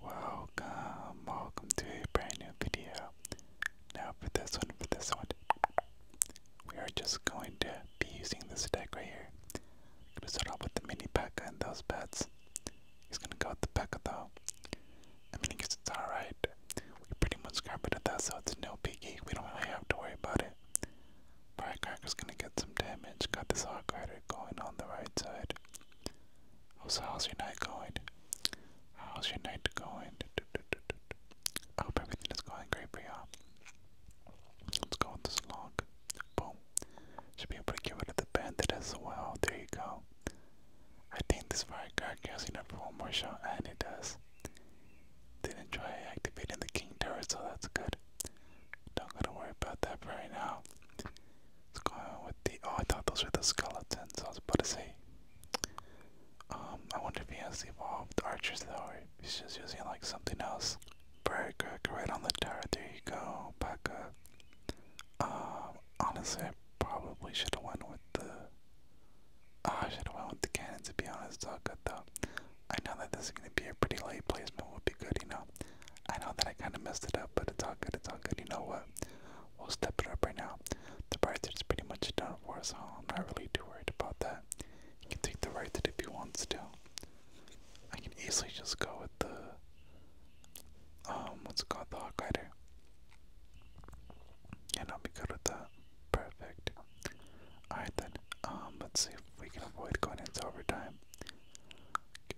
Welcome, welcome to a brand new video. Now for this one, for this one, we are just going to be using this deck right here. I'm gonna start off with the mini P.E.K.K.A and those pets. He's gonna go with the P.E.K.K.A though. I mean, I guess it's alright. We pretty much got rid of that, so it's no biggie. We don't really have to worry about it. Firecracker's gonna get some damage. Got this Hawk Rider going on the right side. Oh, so how's your night going? How's your night going? I hope everything is going great for you. Let's go with this log. Boom. Should be able to get rid of the bandit as well. There you go. I think this fire guard gives enough for one more shot, and it does. Didn't try activating the king turret, so that's good. Don't gotta worry about that right now. Let's with the. Oh, I thought those were the skeletons. I was about to say. Um, I wonder if he has evolved archers though, or if he's just using like something else. Burgrick right on the tower. There you go. Back up. Um, honestly, I probably should have went with the. Oh, ah, should have went with the cannon to be honest. It's good though. I know that this is gonna be a pretty late placement. Would be good, you know. I know that I kind of messed it up, but it's all good. It's all good. You know what? We'll step it up right now. The price is pretty much done for us, so I'm not really too worried about that. You can take the right that if he wants to. I can easily just go with the um, what's it called, the hawk rider, and I'll be good with that. Perfect. All right then. Um, let's see if we can avoid going into overtime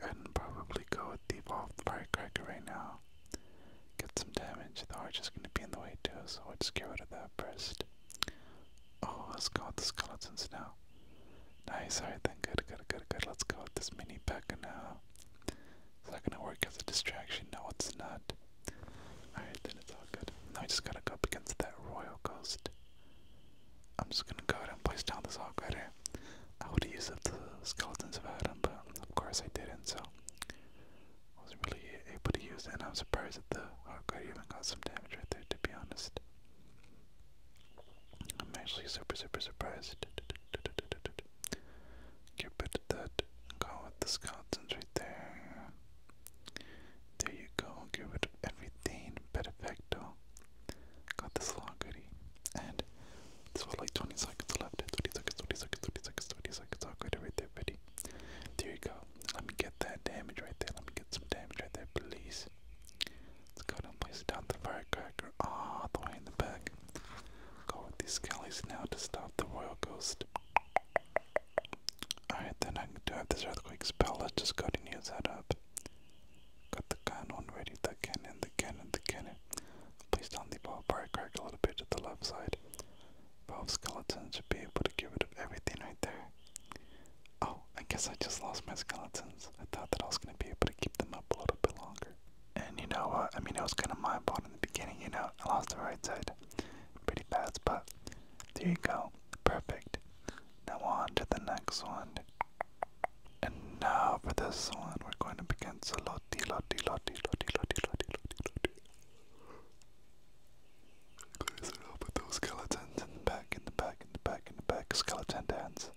and probably go with the evolved firecracker right now. Get some damage. The arch is going to be in the way too, so we'll just get rid of that first. Oh, let's go with the skeletons now. Nice, alright then, good, good, good, good. Let's go with this mini P.E.K.K.A. now. It's not gonna work as a distraction, no it's not. Alright, then it's all good. Now I just gotta go up against that royal ghost. I'm just gonna go ahead and place down this Hawkrider. I would use up the skeletons if I but of course I didn't, so I wasn't really able to use it, and I'm surprised that the Hawkrider even got some damage right there, to be honest. I'm actually super, super surprised. Get rid that. Go with the skeletons right there. There you go. Get rid everything. Perfecto. Got this little goodie. And this was like 20 seconds left. 20 seconds, 20 seconds, 20 seconds, 20 seconds. I'll go to right there, buddy. There you go. Let me get that damage right there. Let me get some damage right there, please. Let's go ahead and place down the firecracker all the way in the back. Go with these skellies now to stop the royal ghost. Alright, then I can do have this earthquake spell. Let's just go ahead and use that up. Got the cannon ready, the cannon, the cannon, the cannon. Placed on the ballpark crack a little bit to the left side. Valve skeleton should be able to get rid of everything right there. Oh, I guess I just lost my skeletons. I thought that I was gonna be able to keep them up a little bit longer. And you know what? I mean, it was kind of my fault in the beginning, you know. I lost the right side pretty bad, but there you go. Perfect. Now on to the next one. And now for this one, we're going up against Loti, Loti, Loti, Loti, Loti, Loti, Loti, Loti. Clears it up with those skeletons in the back, in the back, in the back, in the back. Skeleton dance.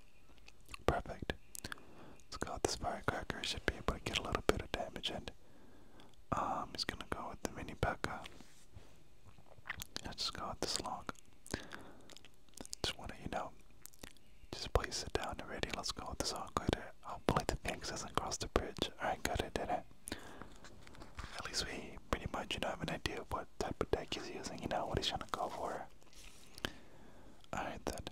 Perfect. Let's go with this firecracker. Should be able to get a little bit of damage in. Um, he's gonna go with the mini Becca. Let's just go with this log. Just wanna, you know, just please sit down already. Let's go. This is all good. Hopefully the Phoenix doesn't cross the bridge. Alright, good, it did it. At least we pretty much, you know, have an idea of what type of deck he's using, you know, what he's trying to go for. Alright then.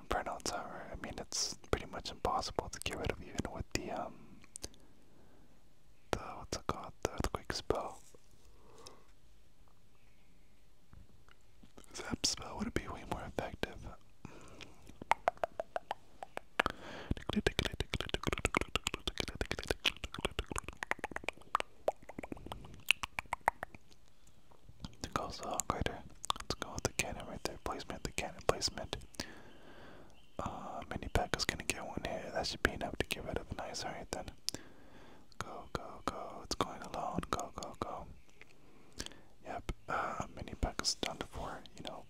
Inferno Tower, I mean, it's pretty much impossible to get rid of even with the, um, the, what's it called, the Earthquake spell. Zap spell would be way more effective. Let's go with the cannon right there. Placement, the cannon placement. Uh, mini pack is gonna get one here. That should be enough to get rid of. Nice, alright then. Go, go, go. It's going alone. Go, go, go. Yep, uh, mini pack is done for, you know.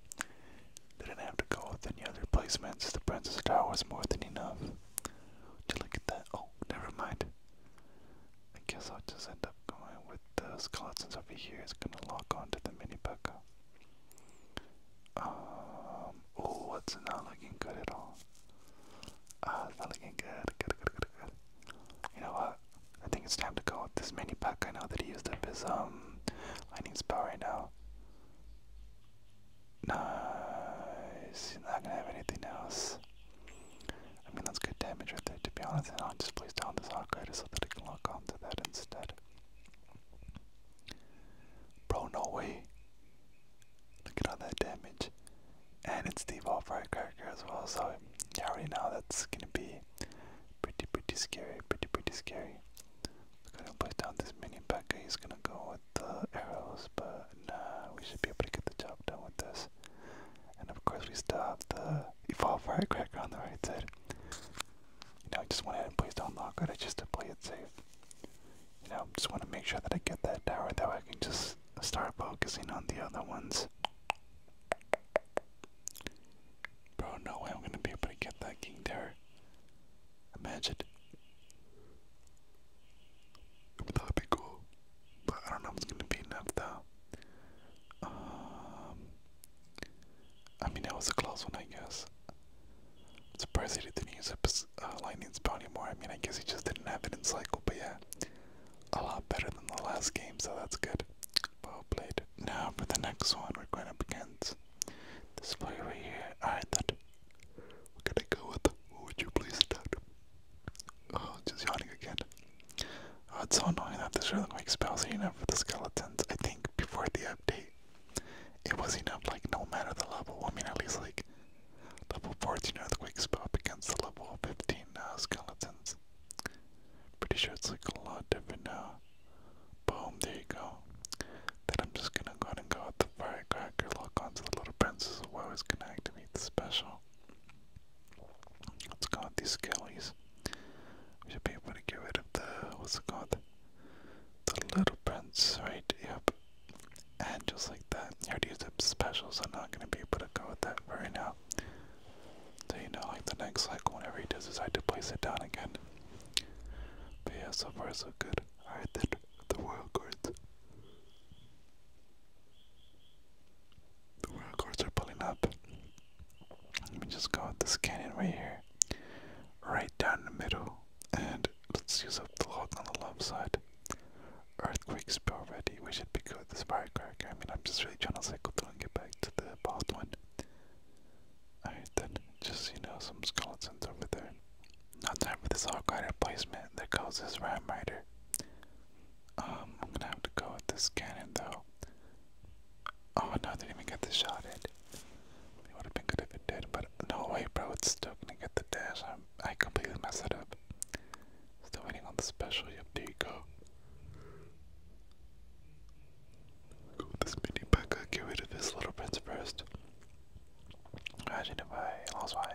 They didn't have to go with any other placements. The Princess Tower was more than enough. Did you look at that? Oh, never mind. I guess I'll just end up going with the skeletons over here. It's gonna lock onto the mini pack. Um, oh, it's not looking good at all. Uh, not looking good. Good, good, good, good. You know what? I think it's time to go with this mini pack. I know that he used up his um lightning spell right now. Nice. He's not gonna have anything else. I mean, that's good damage right there, to be honest. And I'll just place down this Arcarider so that I can lock onto that instead. Bro, no way. Look at all that damage. And it's the Evolve Firecracker as well, so you already know that's gonna be pretty, pretty scary, pretty, pretty scary. We're gonna place down this mini Becca, he's gonna go with the arrows, but nah, we should be able to get the job done with this. And of course we still have the Evolve Firecracker on the right side. You I just went ahead and placed down I just to play it safe you know, just want to make sure that I get that tower. That I can just start focusing on the other ones. Bro, no way I'm going to be able to get that king there. Imagine. That would be cool. But I don't know if it's going to be enough, though. Um, I mean, that was a close one, I guess surprised he didn't use a uh, lightning uh, anymore. I mean, I guess he just didn't have it in cycle, but yeah, a lot better than the last game, so that's good. Well played. Now for the next one, we're going up against this player right here. Alright, then we're gonna go with. would you please that? Oh, just yawning again. Oh, it's so annoying that this really spells are enough for the skeletons. I think before the update, it was enough, like, no matter the level. I mean, at least, like, Level 14 earthquakes pop against the level 15 uh, skeletons. Pretty sure it's like a lot different now. Boom, there you go. Then I'm just gonna go ahead and go with the firecracker, lock onto the little princess while it's gonna activate the special. Let's go with these skellies. We should be able to get rid of the, what's it called? The little prince, right? Yep. And just like that, he already used a special, so I'm not gonna be able to go with that for right now. So you know, like the next cycle, whenever he does decide to place it down again. But yeah, so far so good. Alright then, the royal cards. The royal cards are pulling up. Let me just go with this cannon right here. Right right down the middle, and let's use up the log on the left side. Earthquake spell ready, we should be good with this firecracker. I mean, I'm just really trying to cycle through and get back to the bald one. Alright then, just, you know, some skeletons over there. Not time for this hog rider placement that causes Ram Rider. Um, I'm gonna have to go with this cannon though. Oh no, they didn't even get the shot in. It would have been good if it did, but no way, bro, it's still gonna get the dash. I completely messed it up. Still waiting on the special. Yep, there you go. this mini Get rid of this little prince first. Imagine if I lost my,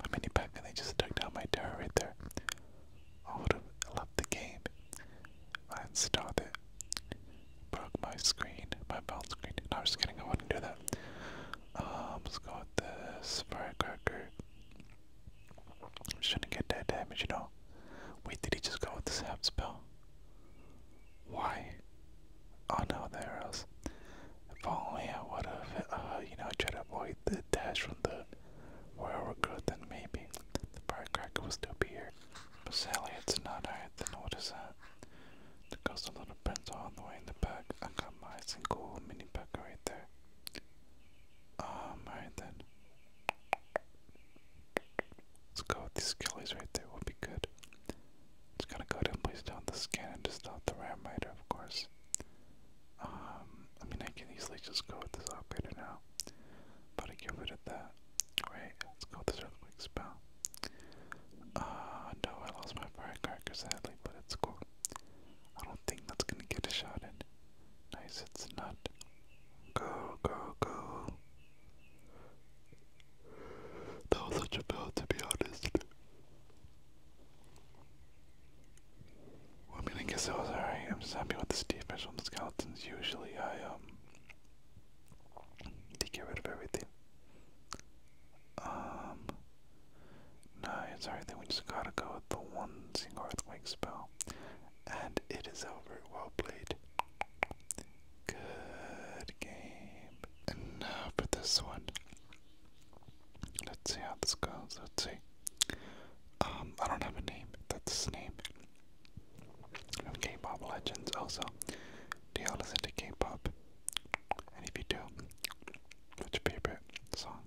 my mini and they just took down my tower there. I would have left the game. I installed it. Broke my screen, my bounce screen. I'm just kidding, I wouldn't do that. Um, let's firecracker. I'm just trying to get that damage, you know. Wait, did he just go with the sap spell? Why? Oh no, the arrows. If only I would have, uh, you know, tried to avoid the dash from the royal recruit, then maybe the firecracker would still be here. But sadly, it's not. Alright, then what is that? The ghost of the the prints all the way in the back. I got my single mini pack right there. Um, alright then. Let's go with these killies right there, will be good. Just gotta go ahead and place down the skin and just out the ram of course. Um, I mean, I can easily just go with this operator now. But I give it at that. Right, let's go with this earthquake spell. Uh, no, I lost my firecracker sadly, but it's cool. I don't think that's gonna get a shot in. Nice, it's not. Go, go, go. That was such a build, to be honest. Well, I mean, I guess it was alright. I'm just happy with this defense on the skeletons. Usually, I, um, they get rid of everything um, no, it's alright. Then we just gotta go with the one single earthquake spell, and it is over. Well played. Good game. And now for this one. Let's see how this goes. Let's see. Um, I don't have a name. That's his name. From K-pop legends. Also, do y'all listen to K-pop? And if you do, what's your favorite song?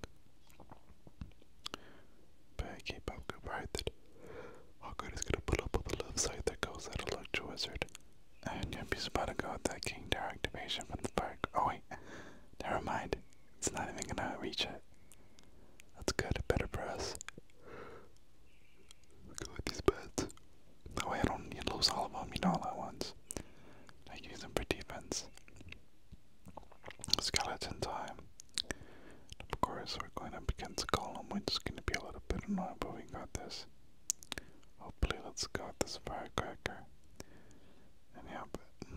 By a K-pop group, I that Hawkeye is gonna put up with a love site that goes out of luck to Wizard. And Yuppie's about to go with that King Tower from the park. Oh wait, never mind. It's not even gonna reach it. That's good, better for us. Go with these beds. That way I don't need to lose all of them, you know, all at once. I use them for defense. Skeleton time. And of course, we're going to up against Golem, which is going to be a little bit annoying, but we got this. Hopefully, let's go this firecracker. And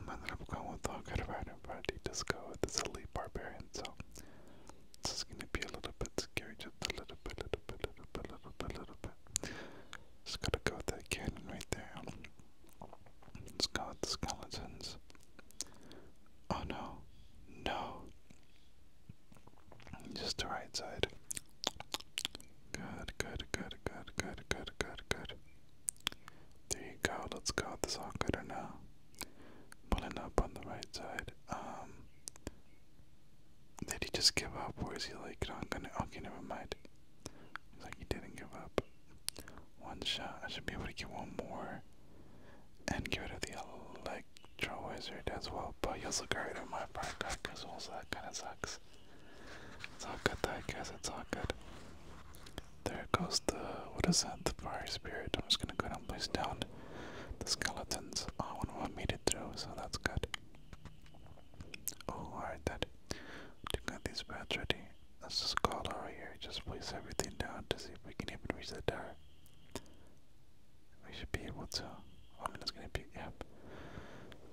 but I ended up going with Hawkeye Rider, but I did go with this Elite Barbarian, so this is going to be a little bit scary, just a little bit, little bit, little bit, little bit, little but just gotta go with that cannon right there. Let's go with the skeletons. Oh no, no. Just the right side. Good, good, good, good, good, good, good, good. There you go. Let's go with this all gooder now. Pulling up on the right side. Um, did he just give up, or is he like, no, I'm gonna. Okay, never mind. He's like, he didn't give up. One shot. I should be able to get one more, and get rid of the electro wizard as well. But you also got rid of my park because also that kind of sucks. It's all good, I guess. It's all good. There goes the what is that? The fire spirit. I'm just gonna go ahead and place down the skeletons, oh, one one them made through, so that's good. Oh, alright, that. To get these bats ready, let's just call over here. Just place everything down to see if we can even reach the tower. We should be able to. Oh, I mean, it's gonna be, yep.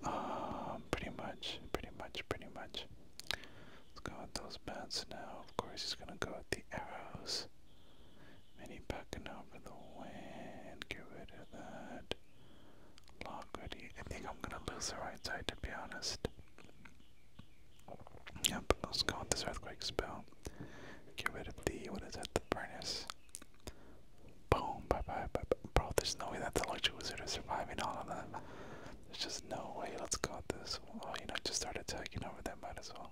Um, pretty much, pretty much, pretty much. Let's go with those bats now. Of course, he's gonna go with the arrows. Many backing out of the wind. Get rid of that. Log ready. I think I'm gonna lose the right side to be honest. Yep, let's go with this earthquake spell. Get rid of the what is that? The furnace. Boom! Bye bye bye. bye. Bro, there's no way that the electric wizard is surviving all of that. There's just no way. Let's go with this. Oh, you know, just start attacking over there. Might as well.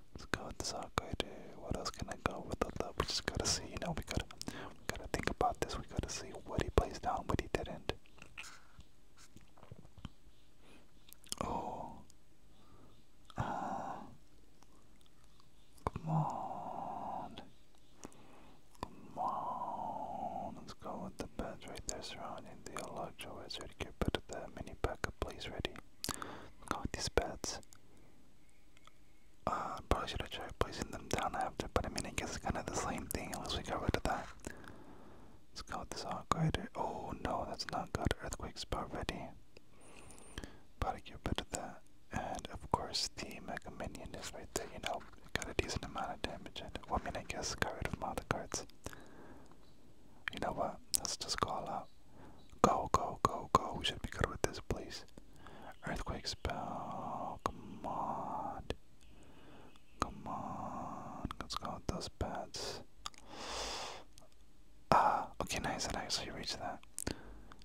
Let's go with Sakaidu. What else can I go with the love? We just gotta see, you know, we gotta we gotta think about this, we gotta see what he plays down, what he didn't. Oh uh, come on. Come on. Let's go with the beds right there surrounding the Electro Wizard. Get rid of that mini backup, please ready. Go these beds. Uh, probably should have placing them down after, but I mean, I guess it's kind of the same thing unless we get rid of that. Let's go with this upgrader. Oh no, that's not good. Earthquake's about ready. Gotta get rid of And of course, the Mega Minion is right there, you know. Got a decent amount of damage in I mean, I guess got rid of all the cards. You know what? Let's just call out. Go, go, go, go. We should be good with this, please. Earthquake spell. Come on. Come on. Let's go with those bats. Ah, okay, nice. I actually reached that.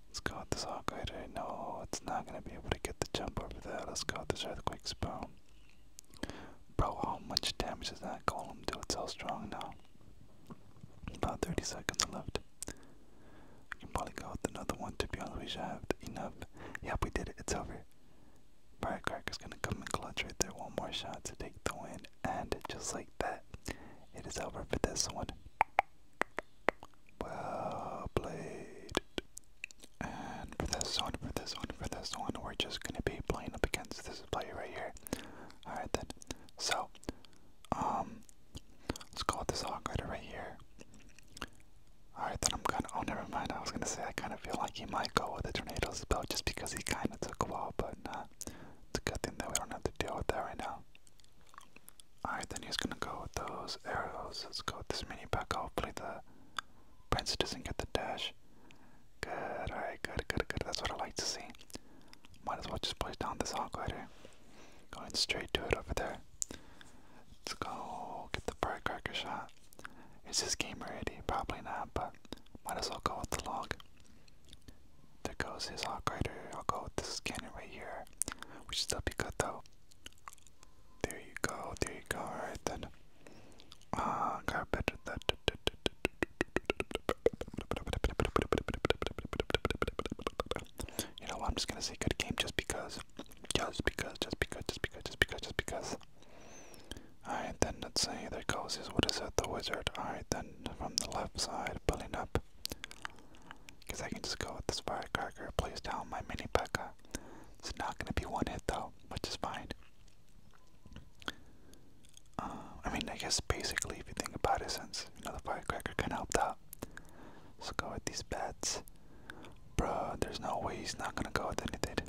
Let's go with this operator. No, it's not going to be able to get the jump over there. Let's go with this earthquake spell. Bro, how much damage does that column do? It's so strong now. About 30 seconds left. probably go another one to be honest. We should have enough. Yep, we did it. It's over. Firecracker's gonna come and clutch right there. One more shot to take the win. And just like that, it is over for this one. Well played. And for this one, for this one, for this one, we're just gonna be playing up against this player right here. Alright then. So, um, let's go with this Hawkrider right here. Alright, then I'm gonna. Oh, never mind. I was gonna say I kind of feel like he might go with the tornadoes spell just because he kind of took a while, but nah. It's a good thing that we don't have to deal with that right now. Alright, then he's gonna go with those arrows. Let's go with this mini pack. Hopefully, the prince doesn't get the dash. Good, alright, good, good, good. That's what I like to see. Might as well just push down this hog rider. Going straight to it over there. Let's go get the firecracker shot. Is this game ready? Probably not, but might as well go with the log. There goes his hog rider. I'll go with this cannon right here. We should still be good though. There you go, there you go, alright then. Uh, got better that. You know what? I'm just gonna say good game just because, just because, just because, just because, just because, just because. Alright, then let's say there goes his, what is it, the wizard. Alright, then from the left side, pulling up. Because I can just go with this firecracker, place down my mini P.E.K.K.A. It's not gonna be one hit though, which is fine. Uh, I mean, I guess basically, if you think about it, since you know the firecracker kind of helped out, let's go with these bats. Bruh, there's no way he's not gonna go with anything.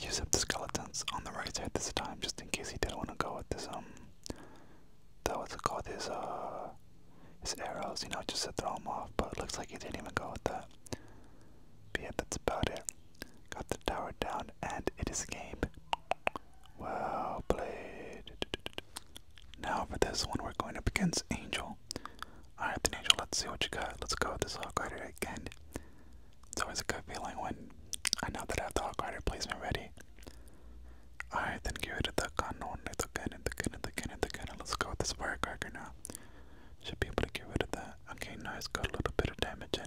Use up the skeletons on the right side this time, just in case he didn't want to go with this um, that what's it called? His uh, his arrows. You know, just to throw him off. But it looks like he didn't even go with that. But yeah, that's about it. Got the tower down and it is a game. Well played. Now for this one, we're going up against Angel. Alright, then Angel, let's see what you got. Let's go with this Hawk Rider again. It's always a good feeling when I know that I have the Hawk Rider placement ready. Alright, then give it the cannon, the cannon, the cannon, the cannon, the cannon. Let's go with this firecracker now. Should be able to get rid of that. Okay, nice. Got a little bit of damage in.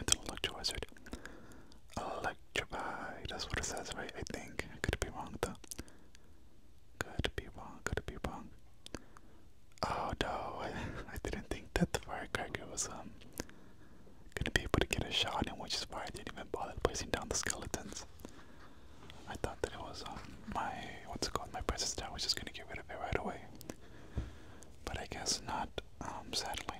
It's an electro wizard. Electrify, that's what it says, right? I think. I could be wrong though. Could be wrong, could be wrong. Oh no, I, didn't think that the firecracker was um gonna be able to get a shot in, which is why I didn't even bother placing down the skeletons. I thought that it was um my what's it called, my presence down was just gonna get rid of it right away. But I guess not um, sadly.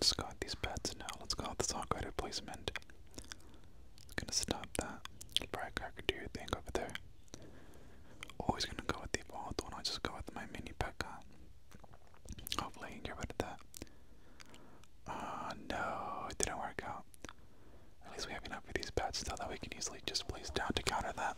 Just got these pets now. Let's go out this Hawkeye placement. Gonna stop that. Brightcracker do your thing over there. Always gonna go with the evolved one. I'll just go with my mini Pekka. Hopefully, I get rid of that. Uh, no, it didn't work out. At least we have enough of these pets, though, that we can easily just place down to counter that.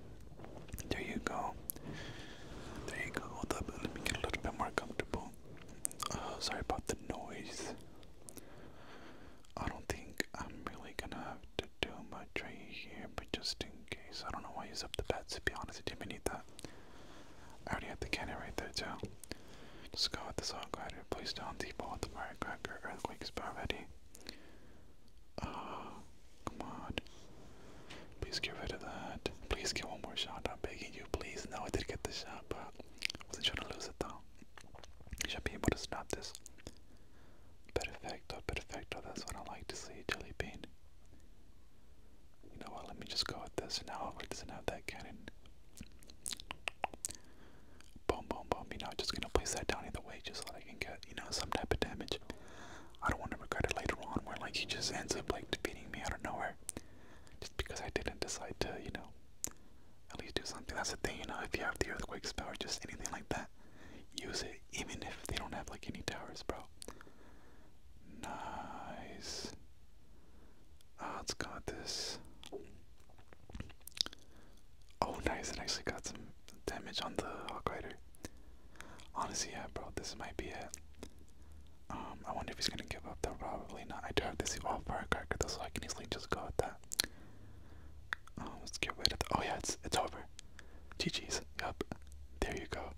There you go. There you go. Hold up. Let me get a little bit more comfortable. Uh, sorry about the noise. I don't think I'm really gonna have to do much right here, but just in case. I don't know why I up the beds, to be honest. I didn't need that. I already have the cannon right there, too. Just go with the saw glider, place down the ball with the firecracker, earthquake spell ready. Oh, come on. Please get rid of that. Please get one more shot. I'm begging you, please. No, I did get the shot, but I wasn't trying to lose it though. You should be able to stop this. Perfecto, perfecto. That's what I like to see, Jelly Bean. You know what? Let me just go with this. Now, it doesn't have that cannon. Boom, boom, boom. You know, I'm just gonna place that down either way just so that I can get, you know, some type of damage. I don't want to regret it later on where, like, he just ends up, like, defeating me out of nowhere. Just because I didn't decide to, you know, at least do something. That's the thing, you know, if you have the earthquake spell or just anything like that, use it, even if they don't have, like, any towers, bro. Nice. Uh, let's go this. Oh, nice. It actually got some damage on the Hawk Rider. Honestly, yeah, bro. This might be it. Um, I wonder if he's gonna give up. Though probably not. I do have this evolved firecracker, though, so I can easily just go with that. Um, let's get rid of. oh yeah, it's it's over. GG's. Yup. There you go.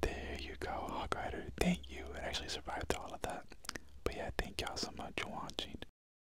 There you go, Hawk Rider. Thank you. It actually survived all of that. But yeah, thank y'all so much for watching.